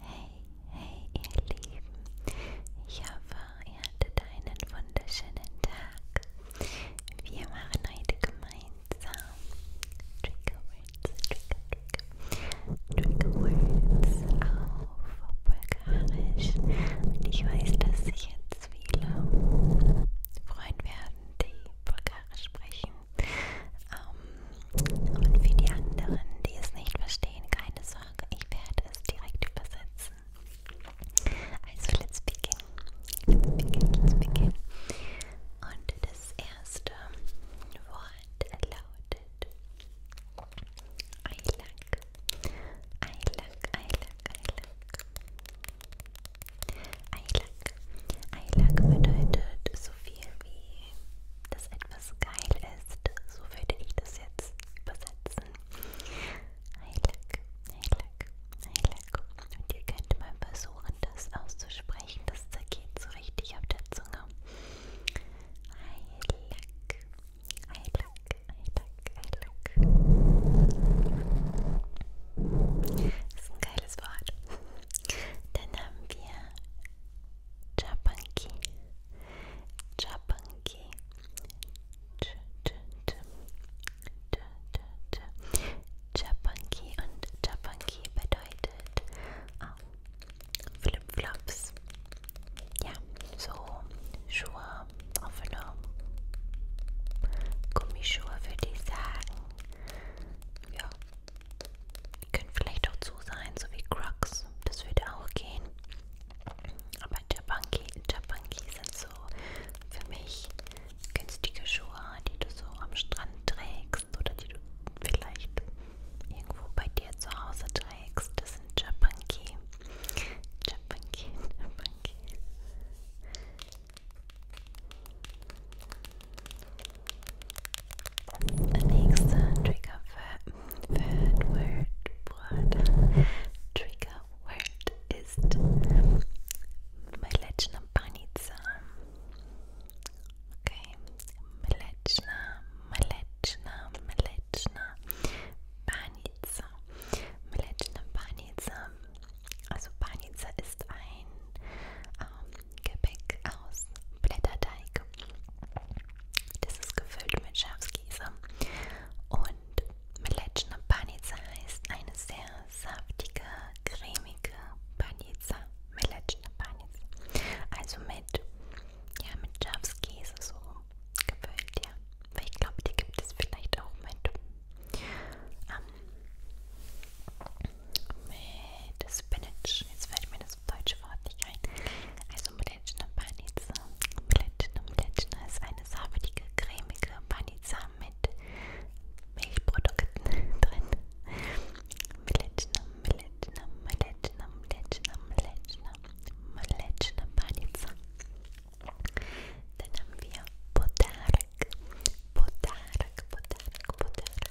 Hey, hey, ihr Lieben. Ich hoffe, ihr hattet einen wunderschönen Tag. Wir machen heute gemeinsam Triggerwords, Trigger, Trigger, Triggerwords auf Bulgarisch. Und ich weiß, dass sich jetzt viele freuen werden, die Bulgarisch sprechen. Ähm, und für die anderen, die es nicht verstehen, keine Sorge, ich werde es direkt übersetzen. Also, let's begin. Let's begin, let's begin. Und das erste Wort lautet Eilack. Eilack, Eilack, Eilack. Eilack. Eilack bedeutet so viel wie das etwas was geil ist. So würde ich das jetzt übersetzen. Heilig, heilig, heilig. Und ihr könnt mal versuchen, das auszusprechen. Das zergeht so richtig auf der Zunge. Heilig, heilig, heilig, heilig. Das ist ein geiles Wort. Dann haben wir Japanki, Japanki, Japanki und Japanki bedeutet oh, Flipflops. Ja, so Schuhe, offene Gummischuhe würde ich sagen. Ja, können vielleicht auch zu sein, so wie Crocs. Das würde auch gehen. Aber Japanki, Japanki sind so für mich günstige Schuhe, die du so am Strand trägst oder die du vielleicht irgendwo bei dir zu Hause trägst. Das sind Japanki. Japanki, Japanki. Nächster Trigger Word, Word, Word. Trigger Word ist Mleczna Panica. Okay, Mleczna, Mleczna, Mleczna Panica. Mleczna Panica. Also Panica ist ein um, Gebäck aus Blätterteig. Das ist gefüllt mit Schafskäse und Mleczna Panica heißt eine sehr saftige, cremige Panica. Mleczna Panica. Also mit, ja, mit Schafskäse so gefüllt, ja. Weil ich glaube, die gibt es vielleicht auch mit. Ähm, mit Spinach. Jetzt fällt mir das deutsche Wort nicht ein. Also Mleczna Panica. Mleczna Mleczna ist eine saftige, cremige Panica mit Milchprodukten drin. Mleczna, Mleczna, Mleczna, Mleczna, Mleczna, Mleczna Panica. Dann haben wir Podarek. Podarek, Podarek, Podarek.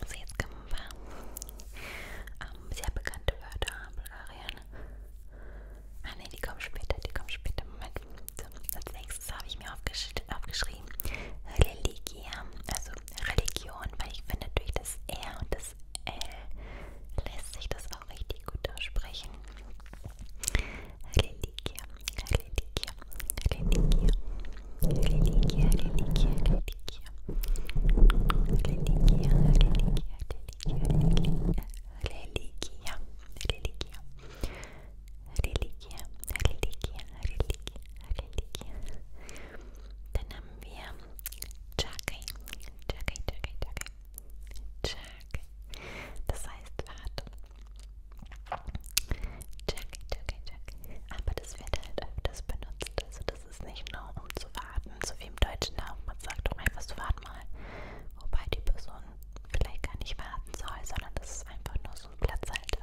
Also jetzt kommen wir ähm, sehr bekannte Wörter Bulgarien. Ah ne, die kommen später, die kommen später. Moment. So, als nächstes habe ich mir aufgesch aufgeschrieben Religia, also Religion, weil ich finde durch das R und das das L lässt sich das auch richtig gut aussprechen. Religia, Religia, Religia, Religia, Religia, Religia, Religia, Religia, Religia, Religia, Religia, Religia, Religia, Religia, Religia, Religia, dann haben wir Jacke. Jacke, Jacke, Jacke. Jacke. Das heißt, warte. Jacke, Jacke, Jacke. Aber das wird halt öfters benutzt. Also das ist nicht nur um zu warten, so wie im Deutschen auch. Man sagt doch einfach so, warte mal. Wobei die Person vielleicht gar nicht warten soll, sondern das ist einfach nur so ein Platzhalter.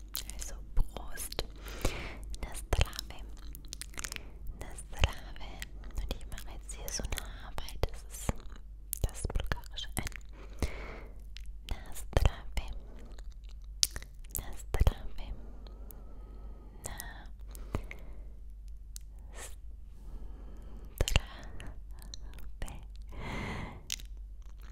Also Prost. Nastrave. Nastrave. Und ich mache jetzt hier so eine Arbeit. Das ist das Bulgarische ein. Nastrave. Nastrave. Na. Strafe.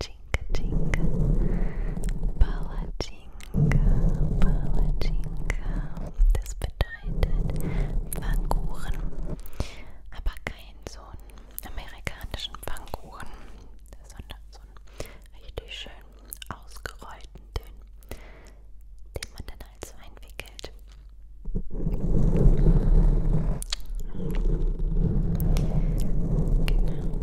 Tinka, Tinka, Palatschinka, Palatschinka. Das bedeutet Pfannkuchen, aber kein so einen amerikanischen Pfannkuchen, sondern so einen richtig schön ausgerollten, dünnen, den man dann also einwickelt. Genau.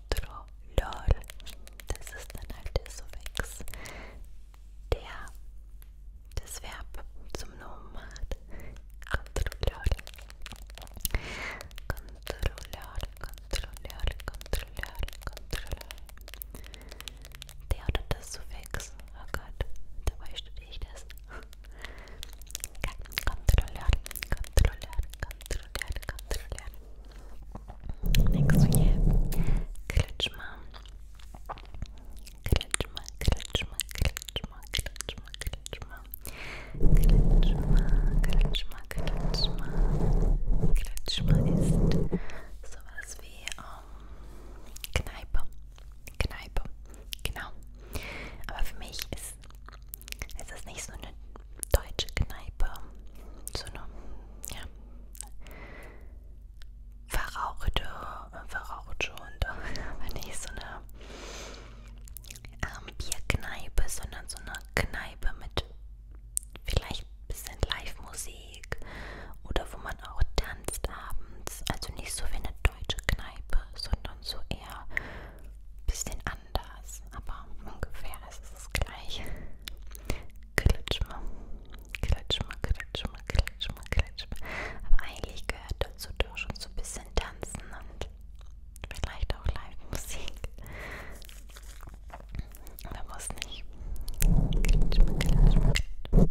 Controlor. Das ist dann halt der Suffix, der das Verb zum Nomen macht. Controlor. Controlor, Controlor, Controlor, Controlor. Der oder das Suffix. Oh Gott, dabei studiere ich das. Kontrolleur, Kontrolleur, Kontrolleur, Kontrolleur. Denkst du je? Klitsch mal. Klitsch mal, klitsch mal, klitsch mal, klitsch mal, klitsch mal. Klitsch mal, klitsch mal, klitsch mal. Klitsch mal ist sowas wie ähm, Kneipe. Kneipe. Genau. Aber für mich ist ist, es ist nicht so eine deutsche Kneipe, so eine, ja, verrauchte, verrauchte und aber nicht so eine ähm, Bierkneipe, sondern so eine Kneipe mit vielleicht ein bisschen Live-Musik oder wo man auch tanzt abends. Also nicht so wie eine deutsche Kneipe, sondern so eher ein bisschen anders, aber ungefähr ist es das gleiche. Klitschme, klitschme, klitschme, klitschme, klitschme. Aber eigentlich gehört dazu doch schon so ein bisschen Tanzen und vielleicht auch Live-Musik. Aber muss nicht. Klitschme, klitschme, klitschme.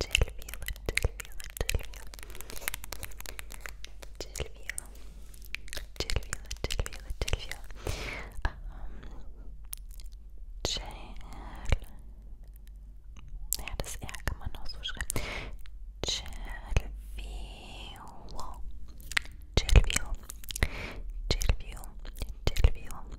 Gelvio, Gelvio, Gelvio. Gelvio. Gelvio, Gelvio, Gelvio. Ähm, Gel. Ja, das R kann man auch so schreiben. Gelvio. Gelvio. Gelvio. Gelvio.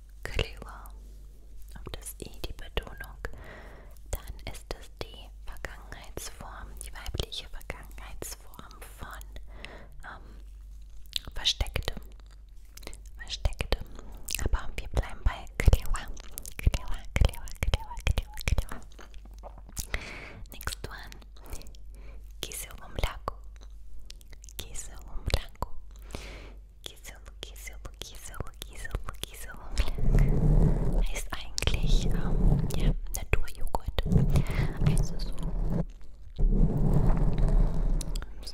clever auf das i e, die Betonung, dann ist es die Vergangenheitsform, die weibliche Vergangenheitsform von ähm, verstecktem, verstecktem. Aber wir bleiben bei clever, clever, clever, clever, clever, clever. Next one, quise un blanco, quise un blanco. Giselo, Giselo, Giselo, Giselo, Giselo heißt eigentlich ähm, ja, Naturjoghurt. Also so, so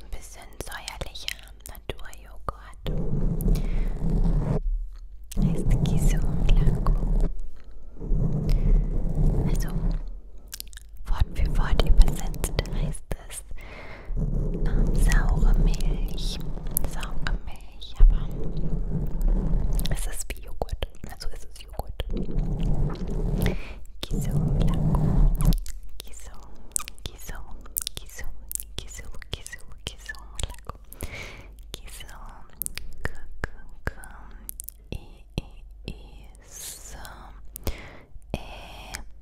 ein bisschen säuerlicher Naturjoghurt. Heißt Giselo Blanco. Also Wort für Wort übersetzt heißt es ähm, saure Milch. Saure Milch, aber es ist wie Joghurt. Also es ist Joghurt. Gisum, Laco. Gisum, Gisum, Gisum, Gisum, Gisum, Gisum, Laco. Gisum, K, K, K, I, I, I, S, E.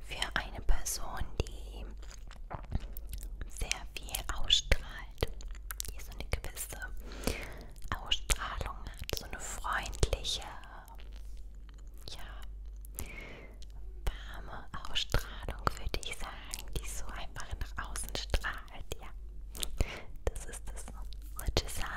für eine Person, die sehr viel ausstrahlt, die so eine gewisse Ausstrahlung hat, so eine freundliche, ja, warme Ausstrahlung, würde ich sagen, die so einfach nach außen strahlt, ja. Das ist das, was ich sagen.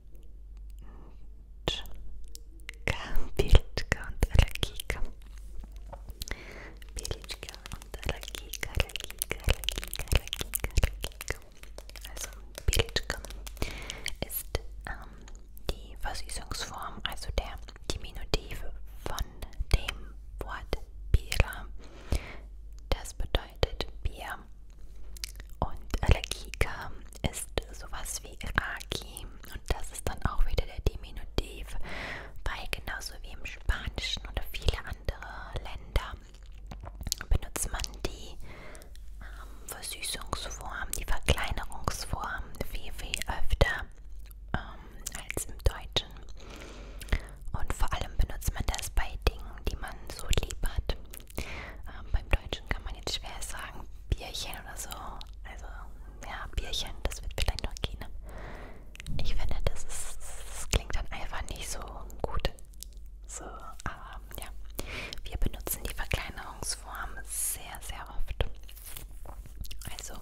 Pilička und Allergika. Pilička und Allergika, Allergika, Allergika, Allergika, Allergika. Also Pilička ist ähm, die Versüßungsform, also der Diminutiv von dem Wort Pira. Das bedeutet bedeutet Bier. Und Allergika ist sowas wie Iraki. Und das ist dann auch wieder der Diminutiv, weil genauso wie im Spanischen oder viele andere Länder benutzt man die ähm, Versüßungsform, die Verkleinerungsform viel, viel öfter ähm, als im Deutschen. Und vor allem benutzt man das bei Dingen, die man so lieb hat. Ähm, beim Deutschen kann man jetzt schwer sagen Bierchen oder so. Also ja, Bierchen, das wird vielleicht noch gehen. Ne? Ich finde, das, ist, das klingt dann einfach nicht so gut. So, aber ähm, ja, wir benutzen die Verkleinerungsform sehr, sehr oft. Also,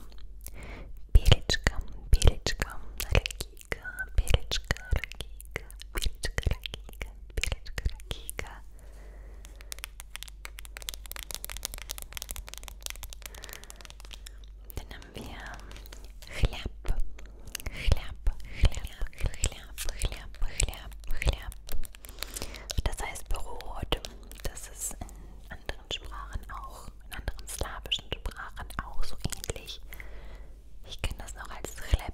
Belitschka, Belitschka, Lakika, Belitschka, Lakika, Belitschka, Lakika, Piliczka Kika. Dann haben wir Chlap, Chlap, Chlap, Chlap, Chlap, Chlap, Chlap. Das heißt Brot. Das ist in anderen Sprachen auch, in anderen slawischen Sprachen auch so ähnlich. Ich kenne das noch als Chleb.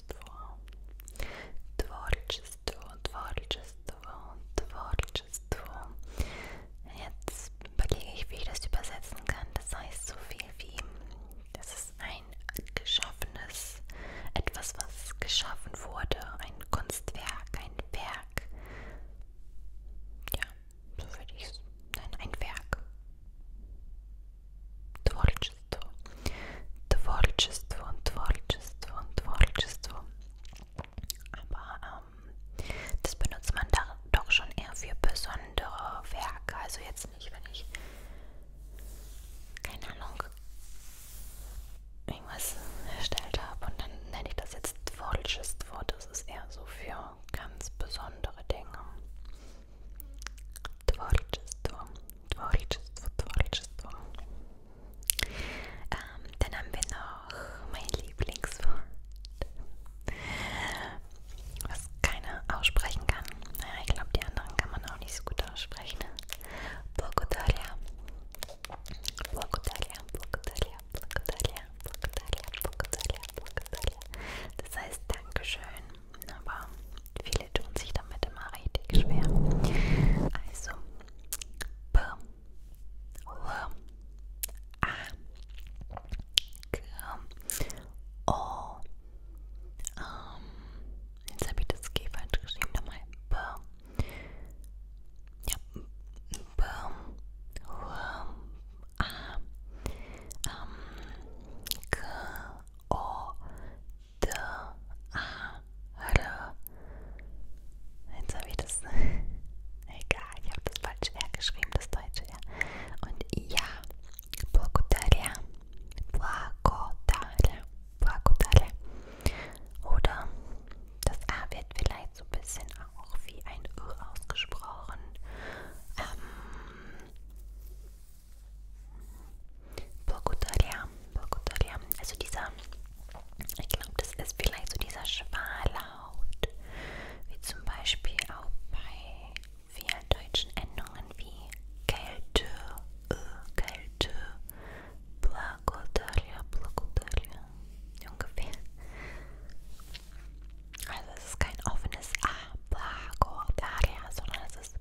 творчество, творчество, творчество, творчество. Jetzt überlege ich, wie ich das übersetzen kann. Das heißt so viel wie, das ist ein geschaffenes, etwas, was geschaffen wurde, ein Kunstwerk, ein Werk. Ja, so würde ich es nennen, ein Werk творчество, Творчество, Tворчество, Tворчество. Aber ähm, das benutzt man da doch schon eher für besondere Werke. Also jetzt nicht, wenn ich keine Ahnung irgendwas erstellt habe und dann nenne ich das jetzt Tворчество. Das ist eher so für ganz besondere Dinge. Tworczyństwo, tworczyństwo, tworczyństwo. Um, dann haben wir noch mein Lieblingswort, was keiner aussprechen kann. Naja, ich glaube, die anderen kann man auch nicht so gut aussprechen. Благодаря. Благодаря, благодаря, благодаря, благодаря, благодаря, благодаря. Das heißt Dankeschön aber viele tun sich damit immer richtig schwer. Also B, L, A, G, O. Ähm, jetzt habe ich das G falsch geschrieben. Nochmal B. Ja, B, L, A, ähm, G, O, D, A, R. Jetzt habe ich das. Egal, ich habe das falsch R geschrieben, das deutsche R. Und ja, Bogotá. Bogotá. Bogotá. Oder das A wird vielleicht so ein bisschen auch wie ein Ö ausgesprochen. Ähm, Bogutaria, Bogutaria. Also dieser, ich glaube, das ist vielleicht so dieser Schwallaut, wie zum Beispiel auch bei vielen deutschen Endungen wie Kälte, äh, Kälte, Bogutaria, Bogutaria, ungefähr. Also es ist kein offenes A, Bogutaria, sondern es ist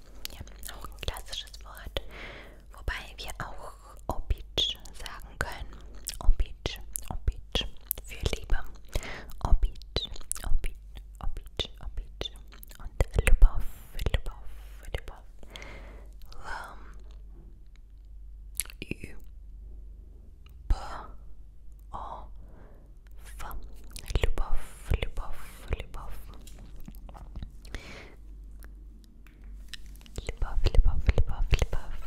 Ja, auch ein klassisches Wort. Wobei wir auch Obitsch sagen können. Obitsch, Obitsch. Für Liebe. Obitsch, Obitsch, Obitsch, Obitsch. Und Lubov, Lubov, Lubov. Lum. Ähm, Ü. P. O. F. Lubov, любовь, любовь. Любовь, любовь, любовь, любовь.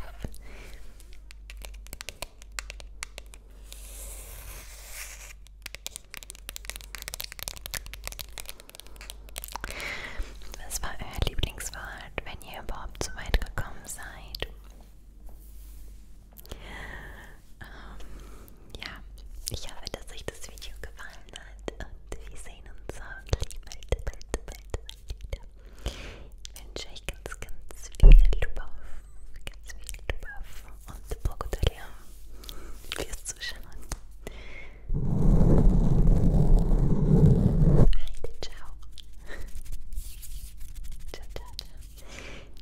Was war euer Lieblingswort, wenn ihr überhaupt so weit gekommen seid? Ähm, ja, ich hoffe, dass euch das Video gefallen hat und wir sehen uns hoffentlich bald, bald, bald, bald wieder. Ich wünsche euch ganz, ganz viel Lubauf, ganz viel Lubauf und Bogotalia fürs Zuschauen. Heide, ciao. ciao, ciao, ciao.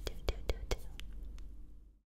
Du, du, du, du.